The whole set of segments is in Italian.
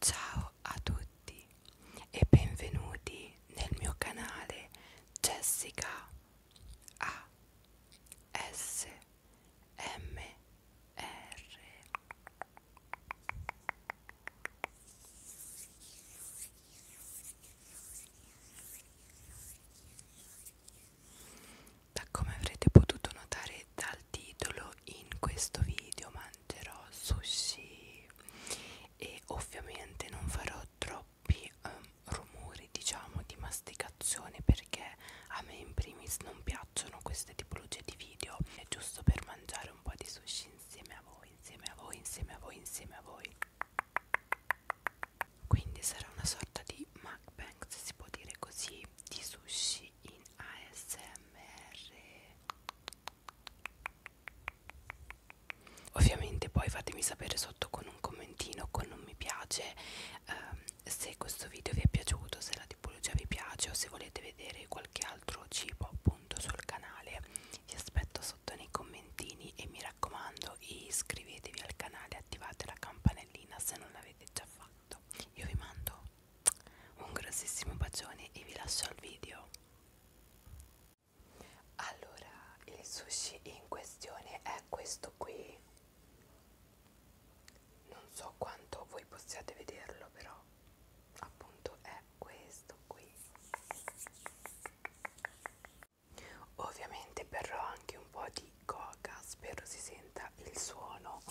Ciao a tutti e benvenuti nel mio canale Jessica A S M R da come avrete potuto notare dal titolo in questo video mangerò sushi e ovviamente non farò troppi um, rumori diciamo di masticazione perché a me in primis non piacciono queste tipologie di video è giusto per mangiare un po' di sushi insieme a voi insieme a voi insieme a voi insieme a voi quindi sarà una sorta di mukbang se si può dire così di sushi in ASMR ovviamente poi fatemi sapere sotto con un commentino con un mi piace ehm, se questo video vi è piaciuto se la tipologia vi piace o se volete vedere qualche altro cibo appunto sul canale vi aspetto sotto nei commentini e mi raccomando video e iscrivetevi al canale e attivate la campanellina se non l'avete già fatto. Io vi mando un grossissimo bacione e vi lascio al video. Allora, il sushi in questione è questo qui. Non so quanto voi possiate vederlo, però appunto è questo qui Ovviamente berrò anche un po' di coca, spero si senta il suono.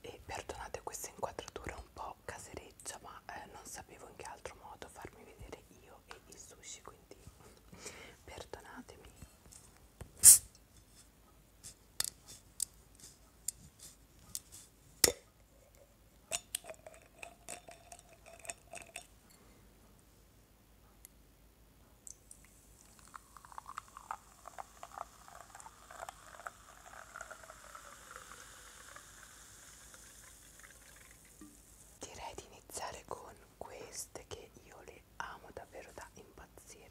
E perdonate questa inquadratura un po' casereccia, ma eh, non sapevo in che altro modo farmi vedere io e il sushi, quindi perdonatemi. Direi di iniziare con queste che io le amo davvero da impazzire.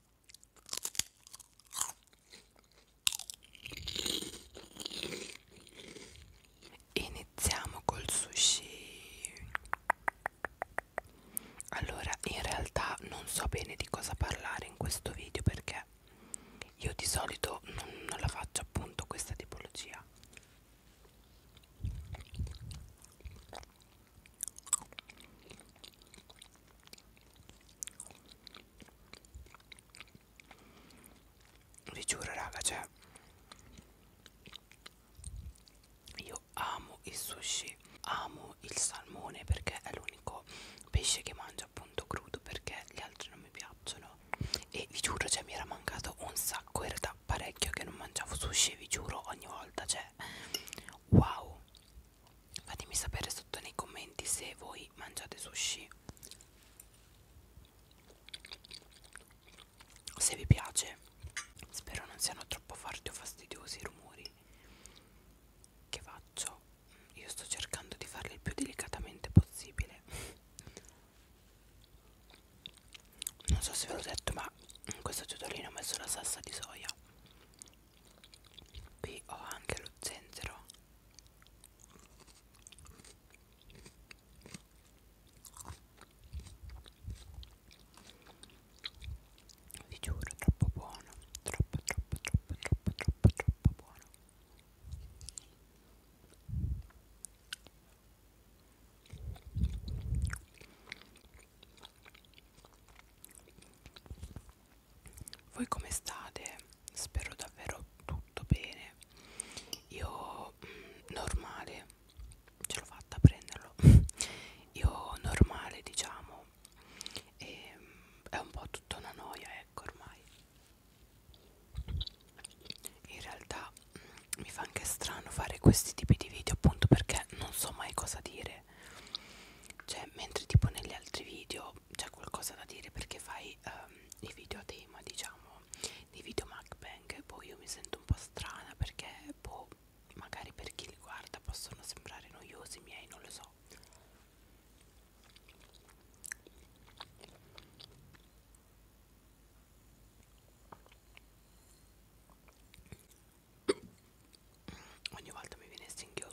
Iniziamo col sushi. Allora, in realtà non so bene di cosa parlare in questo video perché io di solito non, non la faccio appunto questa tipologia vi giuro raga cioè io amo il sushi amo il salmone perché è l'unico pesce che mangio appunto crudo perché gli altri non mi piacciono e vi giuro cioè mi era mancato un sacco era da parecchio che non mangiavo sushi vi giuro ogni volta cioè wow fatemi sapere sotto nei commenti se voi mangiate sushi se vi piace spero non siano troppo forti o fastidiosi i rumori che faccio io sto cercando di farli il più delicatamente possibile non so se ve l'ho detto ma in questo tutorial ho messo la salsa di soia qui ho anche lo zenzero vi giuro troppo buono troppo troppo troppo troppo troppo troppo buono voi come state? Spero davvero tutto bene. Io mm, normale, ce l'ho fatta a prenderlo. Io normale, diciamo, e, mm, è un po' tutta una noia, ecco ormai. In realtà mm, mi fa anche strano fare questi tipi di video appunto perché non so mai cosa dire dire cioè mentre tipo negli altri video c'è qualcosa da dire perché fai um, i video a tema diciamo di video mukbang poi boh, io mi sento un po' strana perché boh, magari per chi li guarda possono sembrare noiosi miei non lo so ogni volta mi viene singhiozzo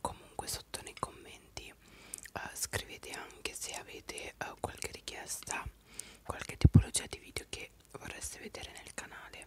Comunque sotto nei commenti eh, scrivete anche se avete eh, qualche richiesta, qualche tipologia di video che vorreste vedere nel canale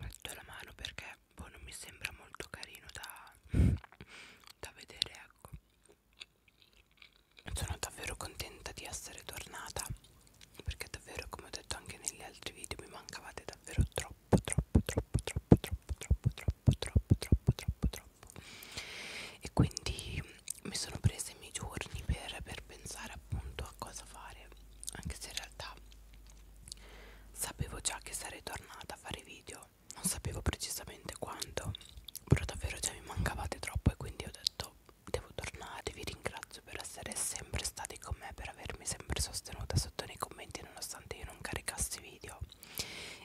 metto la mano perché boh, non mi sembra molto carino da, da vedere ecco sono davvero contenta di essere tornata perché davvero come ho detto anche negli altri video mi mancavate davvero troppo troppo troppo troppo troppo troppo troppo troppo troppo troppo troppo e quindi mi sono presa i miei giorni per, per pensare appunto a cosa fare anche se in realtà sapevo già che sarei tornata a fare video non sapevo precisamente quando però davvero già mi mancavate troppo e quindi ho detto devo tornare vi ringrazio per essere sempre stati con me per avermi sempre sostenuta sotto nei commenti nonostante io non caricassi video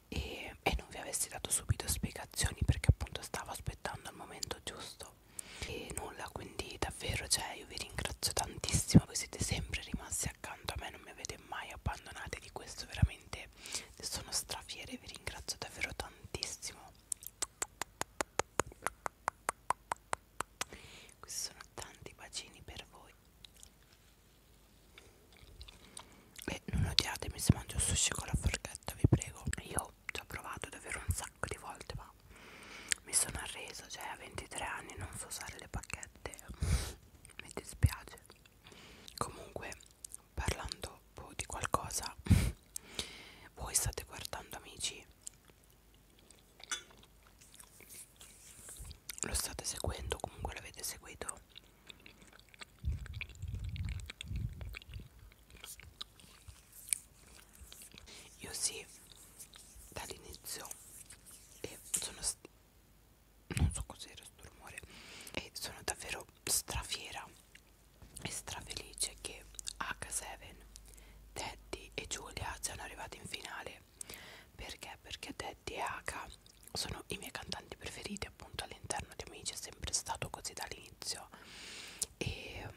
e, e non vi avessi dato subito spiegazioni perché appunto stavo aspettando il momento giusto e nulla quindi davvero cioè io vi ringrazio tantissimo voi siete sempre rimasti accanto a me non mi avete mai abbandonate di questo veramente sono strafiera e vi ringrazio davvero tantissimo questi sono tanti bacini per voi e non odiatemi se mangio sushi con la forchetta vi prego io ci ho provato davvero un sacco di volte ma mi sono arreso cioè a 23 anni non so usare le pacchette mi dispiace comunque parlando boh, di qualcosa voi state guardando amici lo state seguendo comunque l'avete seguito io sì, dall'inizio e sono non so cos'era questo rumore e sono davvero strafiera e strafelice che H7, Teddy e Giulia siano arrivati in finale perché? Perché Teddy e H sono i miei cantanti preferiti appunto all'interno di Amici è sempre stato così dall'inizio e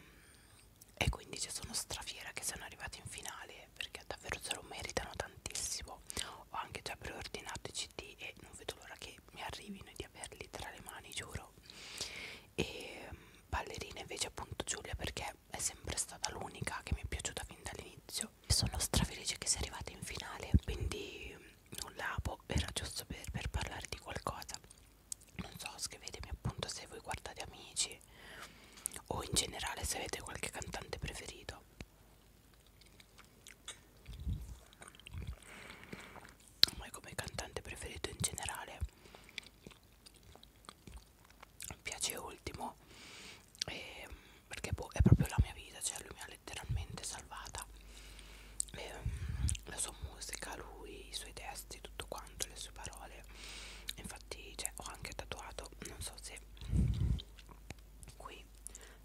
e quindi ci sono strafiera che sono arrivati in finale perché davvero se lo meritano tantissimo ho anche già preordinato i cd e non vedo l'ora che mi arrivino e di averli tra le mani giuro e mm, ballerina invece appunto Giulia perché è sempre stata l'unica che mi è piaciuta fin dall'inizio e sono strafelice che sia arrivata in finale quindi mm, nulla boh, era giusto per, per parlare di qualcosa non so scrivetemi appunto se voi guardate amici o in generale se avete qualche cantante preferito ma come cantante preferito in generale mi piace ultimo e ehm, perché boh, è proprio la mia vita cioè lui mi ha letteralmente salvata ehm, la sua musica, lui, i suoi testi, tutto quanto, le sue parole. Infatti, cioè, ho anche tatuato, non so se qui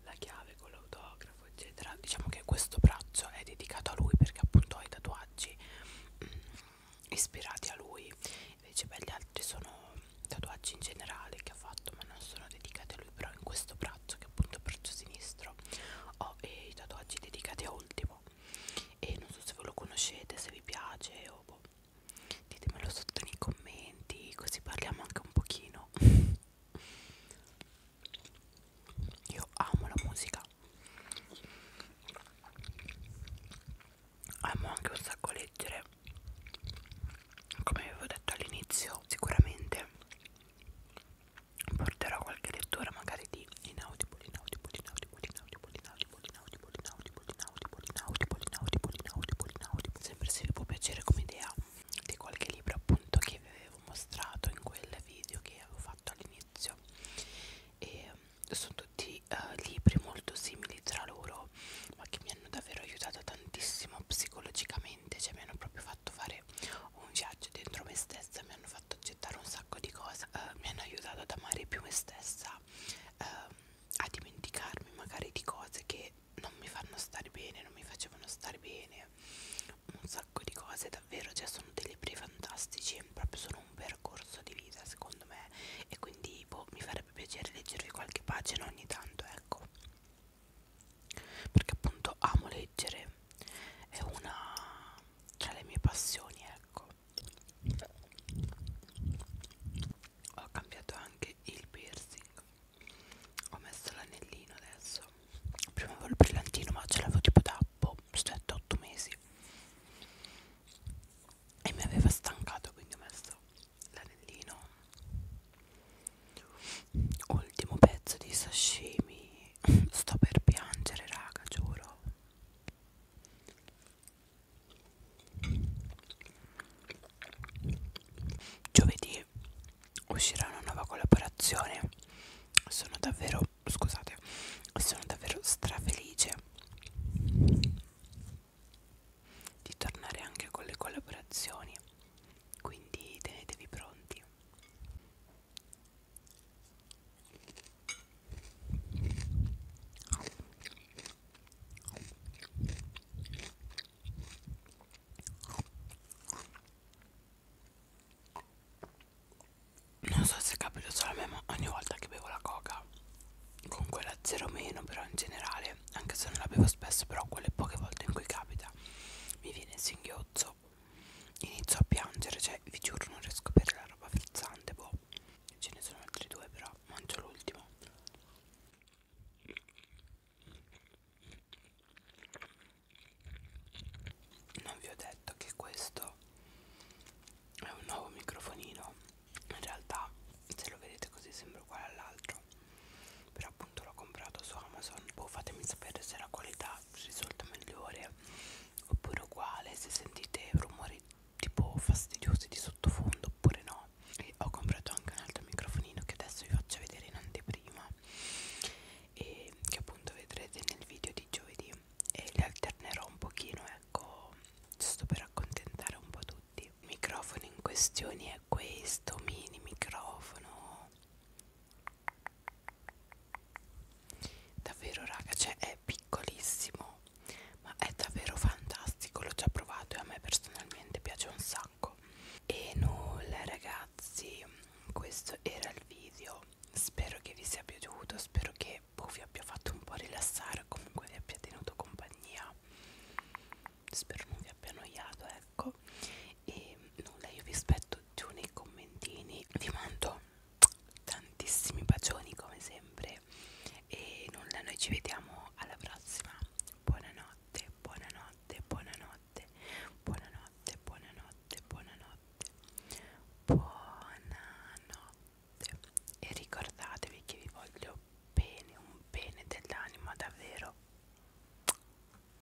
la chiave con l'autografo, eccetera. Diciamo che questo braccio è dedicato a lui perché appunto ho i tatuaggi mh, mm, ispirati a lui. Invece beh, gli altri sono tatuaggi in generale che ha fatto, ma non sono dedicati a lui, però in questo braccio che è appunto il braccio sinistro ho i tatuaggi dedicati a ultimo e non so se voi lo conoscete, se vi piace o boh. ditemelo sotto nei commenti così parliamo anche un pochino io amo la musica amo anche un sacco leggere come avevo detto all'inizio sicuramente porterò qualche lettura magari di inaudible, inaudible, inaudible, inaudible, inaudible, inaudible, inaudible, inaudible, inaudible, inaudible, inaudible, inaudible. Sempre se vi può piacere come idea di qualche libro appunto che vi avevo mostrato in quel video che avevo fatto all'inizio. E sono tutti uh, libri molto simili tra loro, ma che mi hanno davvero aiutato tantissimo psicologicamente, cioè mi hanno proprio fatto fare fare un viaggio dentro me stessa mi hanno fatto accettare un sacco di cose eh, mi hanno aiutato ad amare più me stessa eh, a dimenticarmi magari di cose che non mi fanno stare bene non mi facevano stare bene un sacco di cose davvero cioè sono dei libri fantastici proprio sono un percorso di vita secondo me e quindi boh, mi farebbe piacere leggervi qualche pagina ogni tanto ecco perché appunto amo leggere è una tra le mie passioni ecco ho cambiato anche il piercing ho messo l'anellino adesso prima avevo il brillantino ma ce l'avevo tipo da boh, 7-8 mesi e mi aveva stancato quindi ho messo l'anellino ultimo pezzo di sashimi sto per piangere raga giuro giovedì uscirà una nuova collaborazione sono davvero scusate sono davvero strafelice di tornare anche con le collaborazioni quindi tenetevi pronti non so se capito solo me, ma ogni volta che bevo la coca con quella zero meno, però in generale, anche se non la bevo spesso, però quelle poche volte in cui capita, mi viene il singhiozzo Inizio a piangere, cioè vi giuro non riesco a bere la roba frizzante, boh. Ce ne sono altri due però, mangio l'ultimo. Non vi ho detto che questo è un nuovo microfonino. In realtà se lo vedete così sembra uguale all'altro. Però appunto l'ho comprato su Amazon poi boh, fatemi sapere se la qualità risulta migliore oppure uguale se sentite rumori tipo fastidiosi di sottofondo oppure no e ho comprato anche un altro microfonino che adesso vi faccio vedere in anteprima e che appunto vedrete nel video di giovedì e li alternerò un pochino ecco giusto per accontentare un po' tutti il microfono in questione è questo mini microfono davvero raga cioè è piccolissimo ma è davvero fantastico l'ho già provato e a me personalmente piace un sacco e nulla ragazzi questo era il video spero che vi sia piaciuto spero che boh, vi abbia fatto un po' rilassare comunque vi abbia tenuto compagnia spero non vi abbia annoiato ecco e nulla io vi aspetto giù nei commentini vi mando tantissimi bacioni come sempre e nulla noi ci vediamo alla prossima buonanotte buonanotte buonanotte buonanotte buonanotte buonanotte buonanotte e ricordatevi che vi voglio bene un bene dell'anima davvero